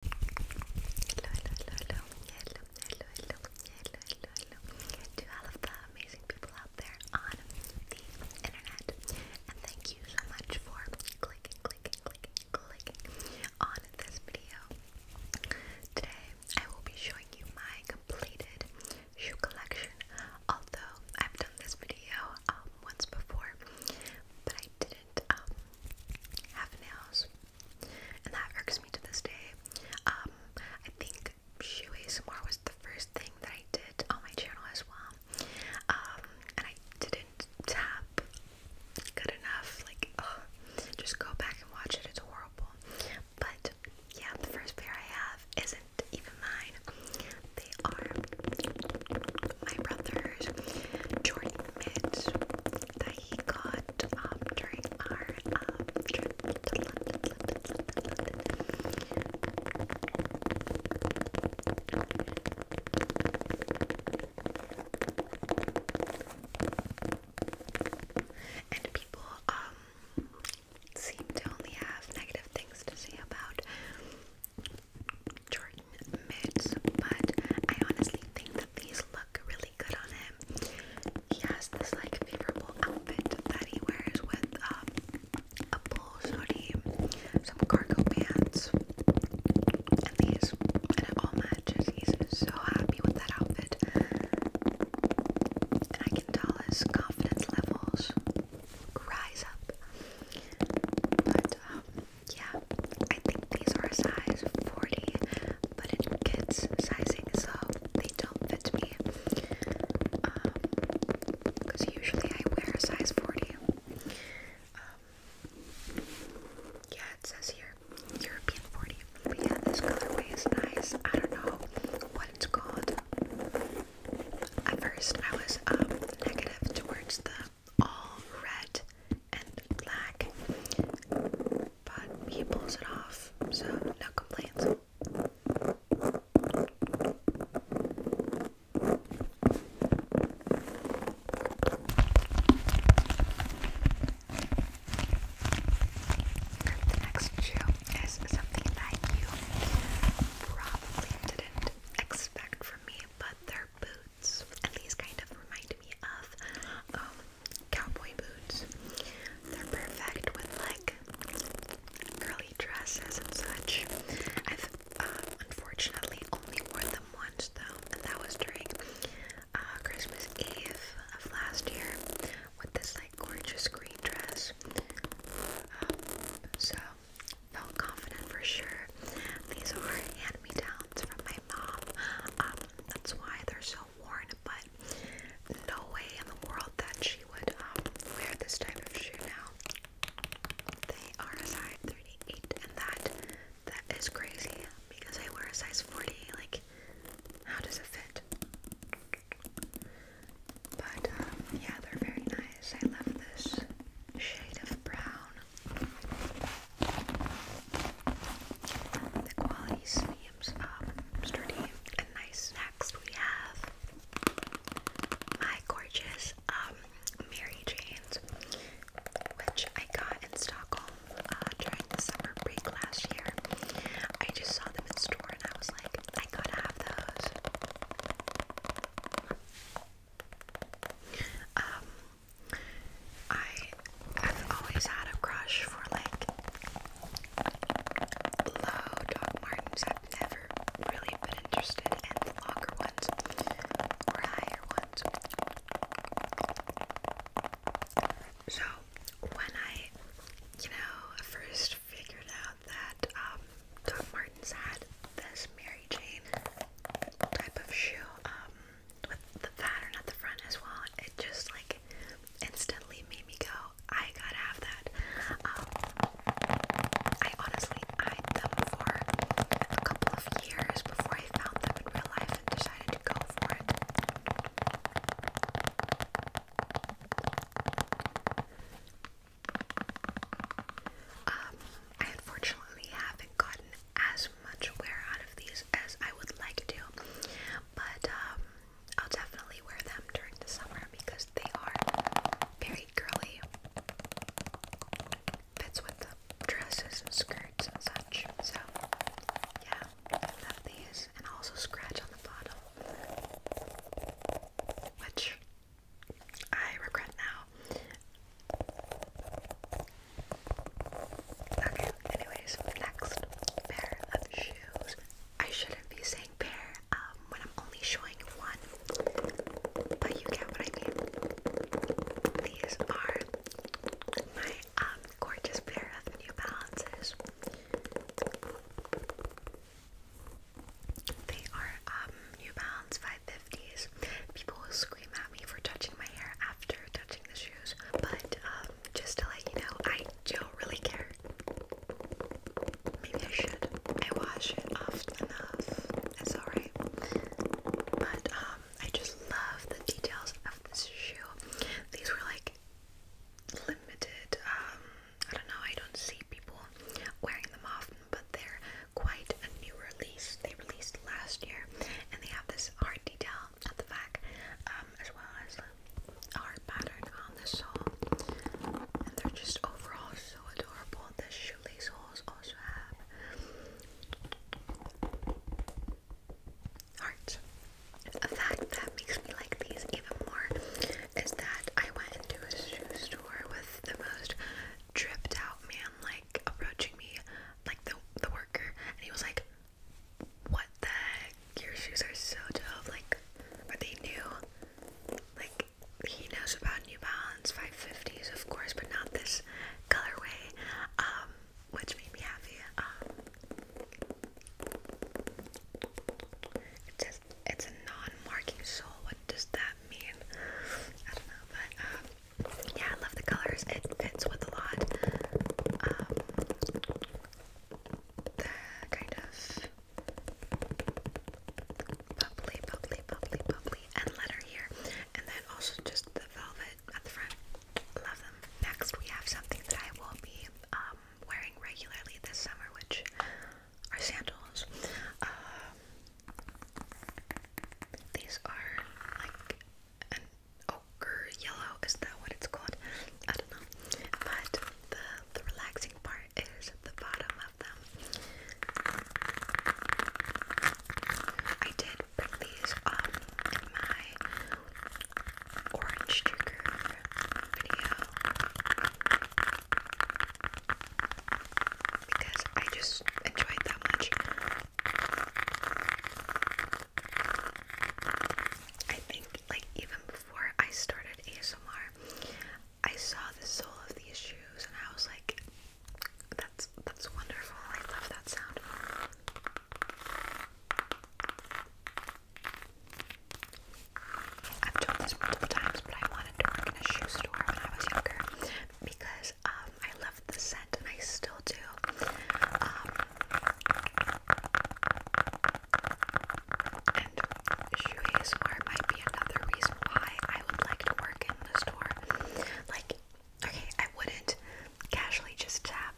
hello, hello, hello, hello, hello, hello, hello to all of the amazing people out there on the internet. And thank you so much for clicking, clicking, clicking, clicking on this video. Today, I will be showing you my completed shoe collection, although I've done this video um, once before, but I didn't um, half an and that irks me to this day. Um, I think Shoe more was the first thing that I did on my channel as well, um, and I didn't tap good enough. Like, just go back and watch it. It's horrible. But yeah, the first pair I have isn't even mine. They are my brother's Jordan mitts that he got um, during our um, trip to London, And people um seem to only have negative things to say about Jordan mitts, but I honestly think that these look really good on him. He has this like favorable outfit that he wears with um, a polo hoodie, some cargo pants, and these, and all matches. He's so happy with that outfit, and I can tell his confidence levels rise up. But um, yeah, I think these are a size 40, but it's kids sizing, so they don't fit me. because um, usually I wear a size 40. Um, yeah, it says here European 40. But yeah, this colorway is nice. I don't know what it's called. At first, I was um, negative towards the all red and black, but he pulls it off, so no complaints. The next shoe is something that you probably didn't expect from me, but there boots, and these kind of remind me of um, cowboy boots. They're perfect with like girly dresses and such. I've uh, unfortunately only wore them once though, and that was during uh, Christmas Eve of last year with this like gorgeous green dress. Um, so felt confident for sure. These are hand-me-downs from my mom. Um, that's why they're so worn, but no way in the world that she would um, wear this type of shoe now. They are a size 38 and that that is crazy because I wear a size 40. Like how does it fit? But um, yeah, they're very nice. I love this shade of brown. The quality seems um, sturdy and nice. Next, we have my gorgeous um, Mary Jane's, which I got in Stockholm uh, during the summer break last year. I just saw them in store and I was like, I gotta have those. Um, I have always had a crush for like low Doc Martens. I've never really been interested in the longer ones or higher ones. So when I, you know, first figured out that um, Doc Martens had this Mary Jane type of shoe um, with the pattern at the front as well. It just like instantly made me go, I gotta have that. Um, I honestly eyed them for a couple of years before I found them in real life and decided to go for it. Um, I unfortunately haven't gotten as much wear out of these as I would like to, but um, I'll definitely wear them during the summer because they are very girly. Fits with the dresses and skirts and such. So, yeah, love these. And also scratch on the bottom, which I regret now. Okay, anyways, next pair of shoes. I shouldn't be saying pair um, when I'm only showing one, but you get what I mean. These are my um, gorgeous pair of New Balances. They are um, New Balance 550s. People will scream at me for touching my hair after touching the shoes, but um, just to let you know, I don't really care. Maybe I should. I wash it often enough. It's alright. But um, I just love the details of this shoe. These were like limited I don't know, I don't see people wearing them often, but they're quite a new release. They released last year, and they have this hard detail at the back, um, as well as a heart pattern on the sole. And they're just overall so adorable. The shoelace holes also have hearts. A fact that makes me like these even more is that I went into a shoe store with the most tripped out man like approaching me, like the the worker, and he was like, What the heck? Your shoes are so dope, like are they new? Like he knows about New Balance 550s of course, but not this colorway. Um, which made me happy. Um, it it's a non-marking sole. What does that mean? I don't know, but um, yeah, I love the colors. It fits with a lot. Um, the kind of bubbly, bubbly, bubbly, bubbly, and letter here, and then also just the velvet at the front. Love them. Next, we have something that I will be um, wearing regularly this summer, which are sandals. Um, these are like an ochre yellow. Is that what it's called? I don't know. But the, the relaxing part is the bottom of them. I did bring these up um, my orange trigger video because I just enjoyed that much. I think, like, even before I started ASMR, I saw the sole of these shoes and I was like, that's that's wonderful. I love that sound. I've told this multiple times, but I wanted to work in a shoe store when I was younger because um, I love the scent and I still do. Um, and shoeys where might be another reason why I would like to work in the store. Like, okay, I wouldn't casually just tap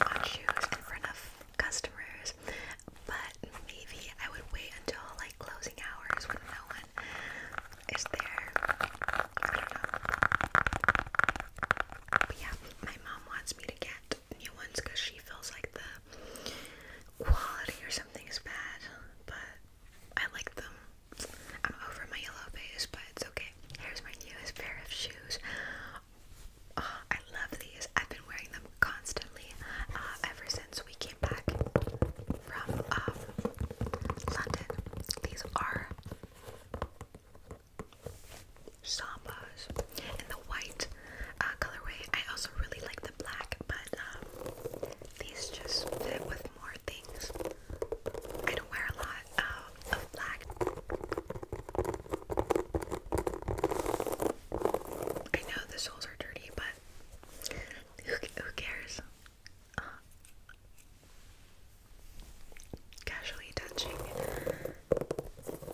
on shoes in front customers, but maybe I would wait until like closing hours when no one is there. I don't know. But yeah, my mom wants me to get new ones because she feels like the quality or something is bad, but I like them. I'm over my yellow base, but it's okay. Here's my newest pair of shoes. Ah, I love these. I've been wearing them constantly uh, ever since we came back from um, London. These are sambas in the white uh, colorway. I also really like the black, but um, these just fit with more things. I don't wear a lot. Uh, I know the soles are dirty, but who, who cares? Uh, casually touching,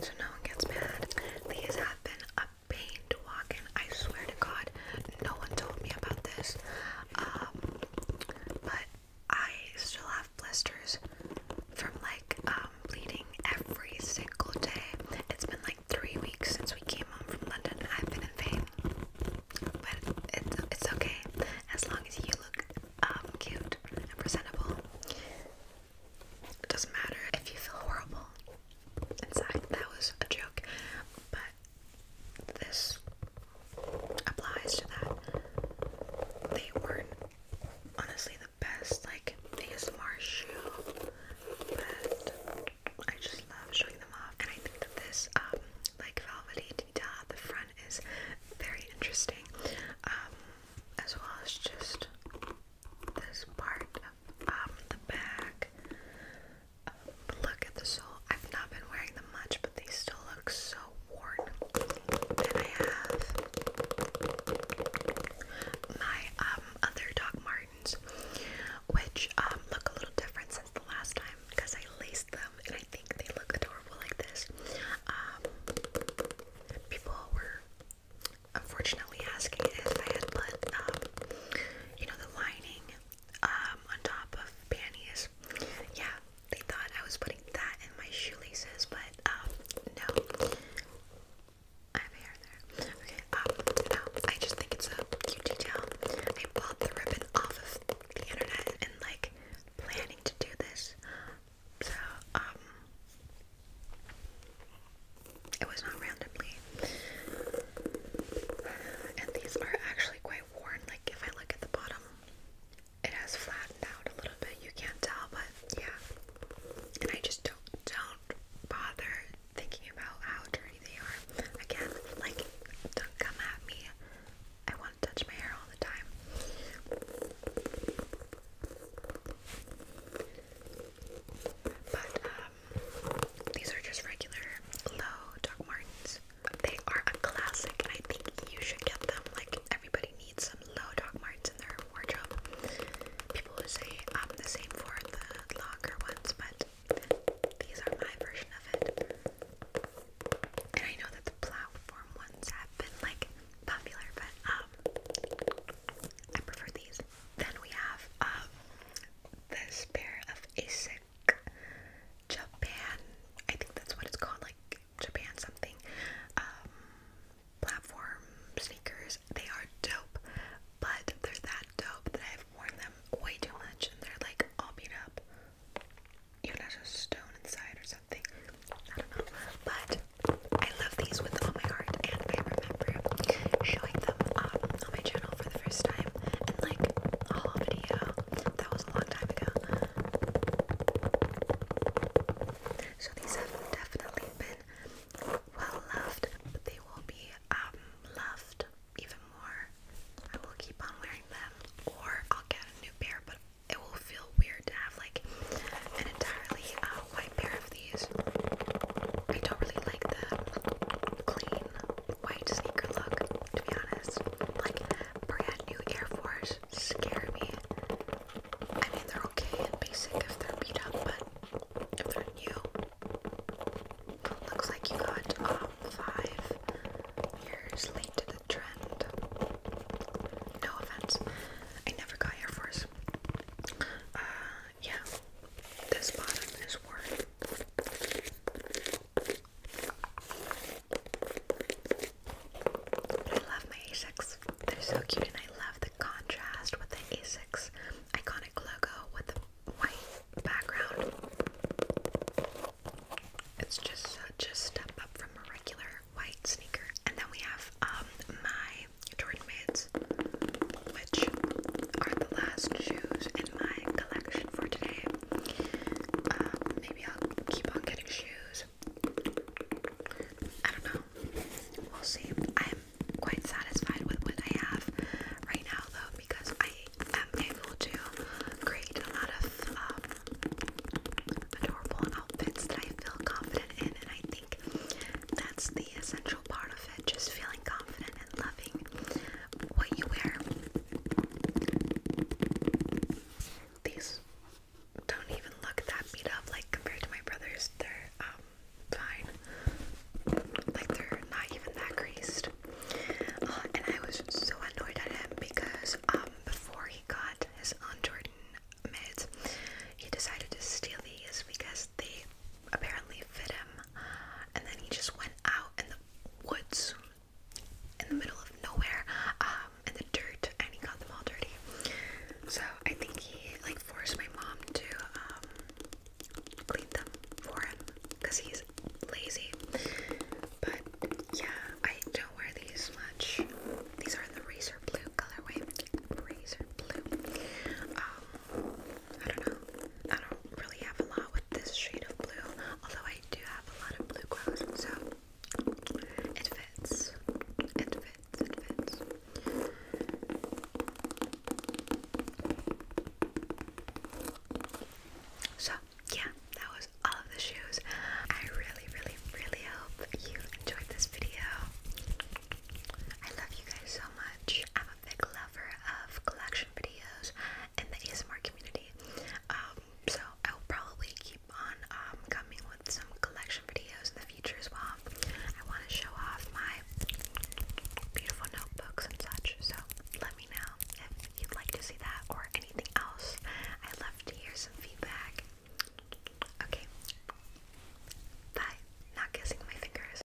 so no one gets mad. These have been a pain to walk in. I swear to God, no one told me about this. Um, but I still have blisters from like um, bleeding every single day. It's been like three weeks since we came home from London. I've been in pain, but it's it's okay as long as you look um, cute and presentable. It doesn't matter if you feel horrible inside. That was a joke, but this applies to that. They weren't honestly the best like ASMR shoe, but I just love showing them off. And I think that this um like velvety detail at the front is very interesting. Um as well as just this part of um, the back. look at the sole. I've not been wearing much, but they still look so worn. And I have my um, other Doc Martens, which um, look a little different since the last time because I laced them and I think they look adorable like this. Um, people were unfortunately asking if I had put you know the lining on top of panties. Yeah, they thought I was putting that in my shoelaces, but um, no. I have hair there. Okay, um, no, I just think it's a cute detail. I bought the ribbon off of the internet and like planning to do this. So, um, it was not randomly. And these are actually quite worn. Like, if I look at the bottom, it has flattened out a little bit. You can't tell, but yeah. And I just don't don't bother thinking about how dirty they are. Again, like don't come at me. I want to touch my hair all the time. But um, these are just regular low Doc Martens. They are a classic, and I think you should get them. Like everybody needs some low Doc marts in their wardrobe. People will say um the same for the longer ones, but these are my version of it. And I know that the platform ones have been like popular, but um I prefer these. Then we have um this pair of ASIC Japan, I think that's what it's called, like Japan something, um, platform sneakers. They are dope, but they're that dope that I've worn them way too much and they're like all beat up. Even has a stone inside or something. I don't know. But I love these with all my heart and I remember showing them um, on my channel for the first time in like a haul video that was a long time ago. So these have definitely been well loved, they will be um, loved even more. I will keep on wearing them, or I'll get a new pair, but it will feel weird to have like an entirely uh, white pair of these. I don't really like the clean white sneaker look, to be honest. Like, brand new Air Force scare me. I mean, they're okay and basic if they're beat up, but if they're new, looks like you got um, five years late to the trend. No offense, I never got Air Force. Uh, yeah, this bottom is worth. I love my Asics. They're so cute and I love the contrast with the Asics iconic logo with the white background. It's just such a step up from a regular white sneaker. And then we have um my Jordan Mids, which are the last shoes in my collection for today. Um, maybe I'll keep on getting shoes. I don't know. We'll see. I'm quite satisfied with what I have right now, though, because I am able to create a lot of um, adorable outfits that I feel confident in, and I think that's the essential part of it just feeling confident and loving what you wear. These don't even look that beat up, like compared to my brother's, they're um, fine. Like they're not even that creased. Uh, and I was so annoyed at him because um, before he got his on Jordan mids, he decided to steal these because they apparently fit him and then he just went out in the woods in the middle of nowhere um in the dirt and he got them all dirty so i think he like forced my mom to um, clean them for him because he's lazy but yeah i don't wear these much these are the razor blue colorway razor blue um, I don't know. I don't really have a lot with this shade of blue, although I do have a lot of blue glows, so it fits. It fits, it fits. So, yeah, that was all of the shoes. I really, really, really hope you enjoyed this video. I love you guys so much big lover of collection videos in the ASMR community. Um, so I will probably keep on um, coming with some collection videos in the future as well. I want to show off my beautiful notebooks and such. So let me know if you'd like to see that or anything else. I'd love to hear some feedback. Okay. Bye. Not kissing my fingers.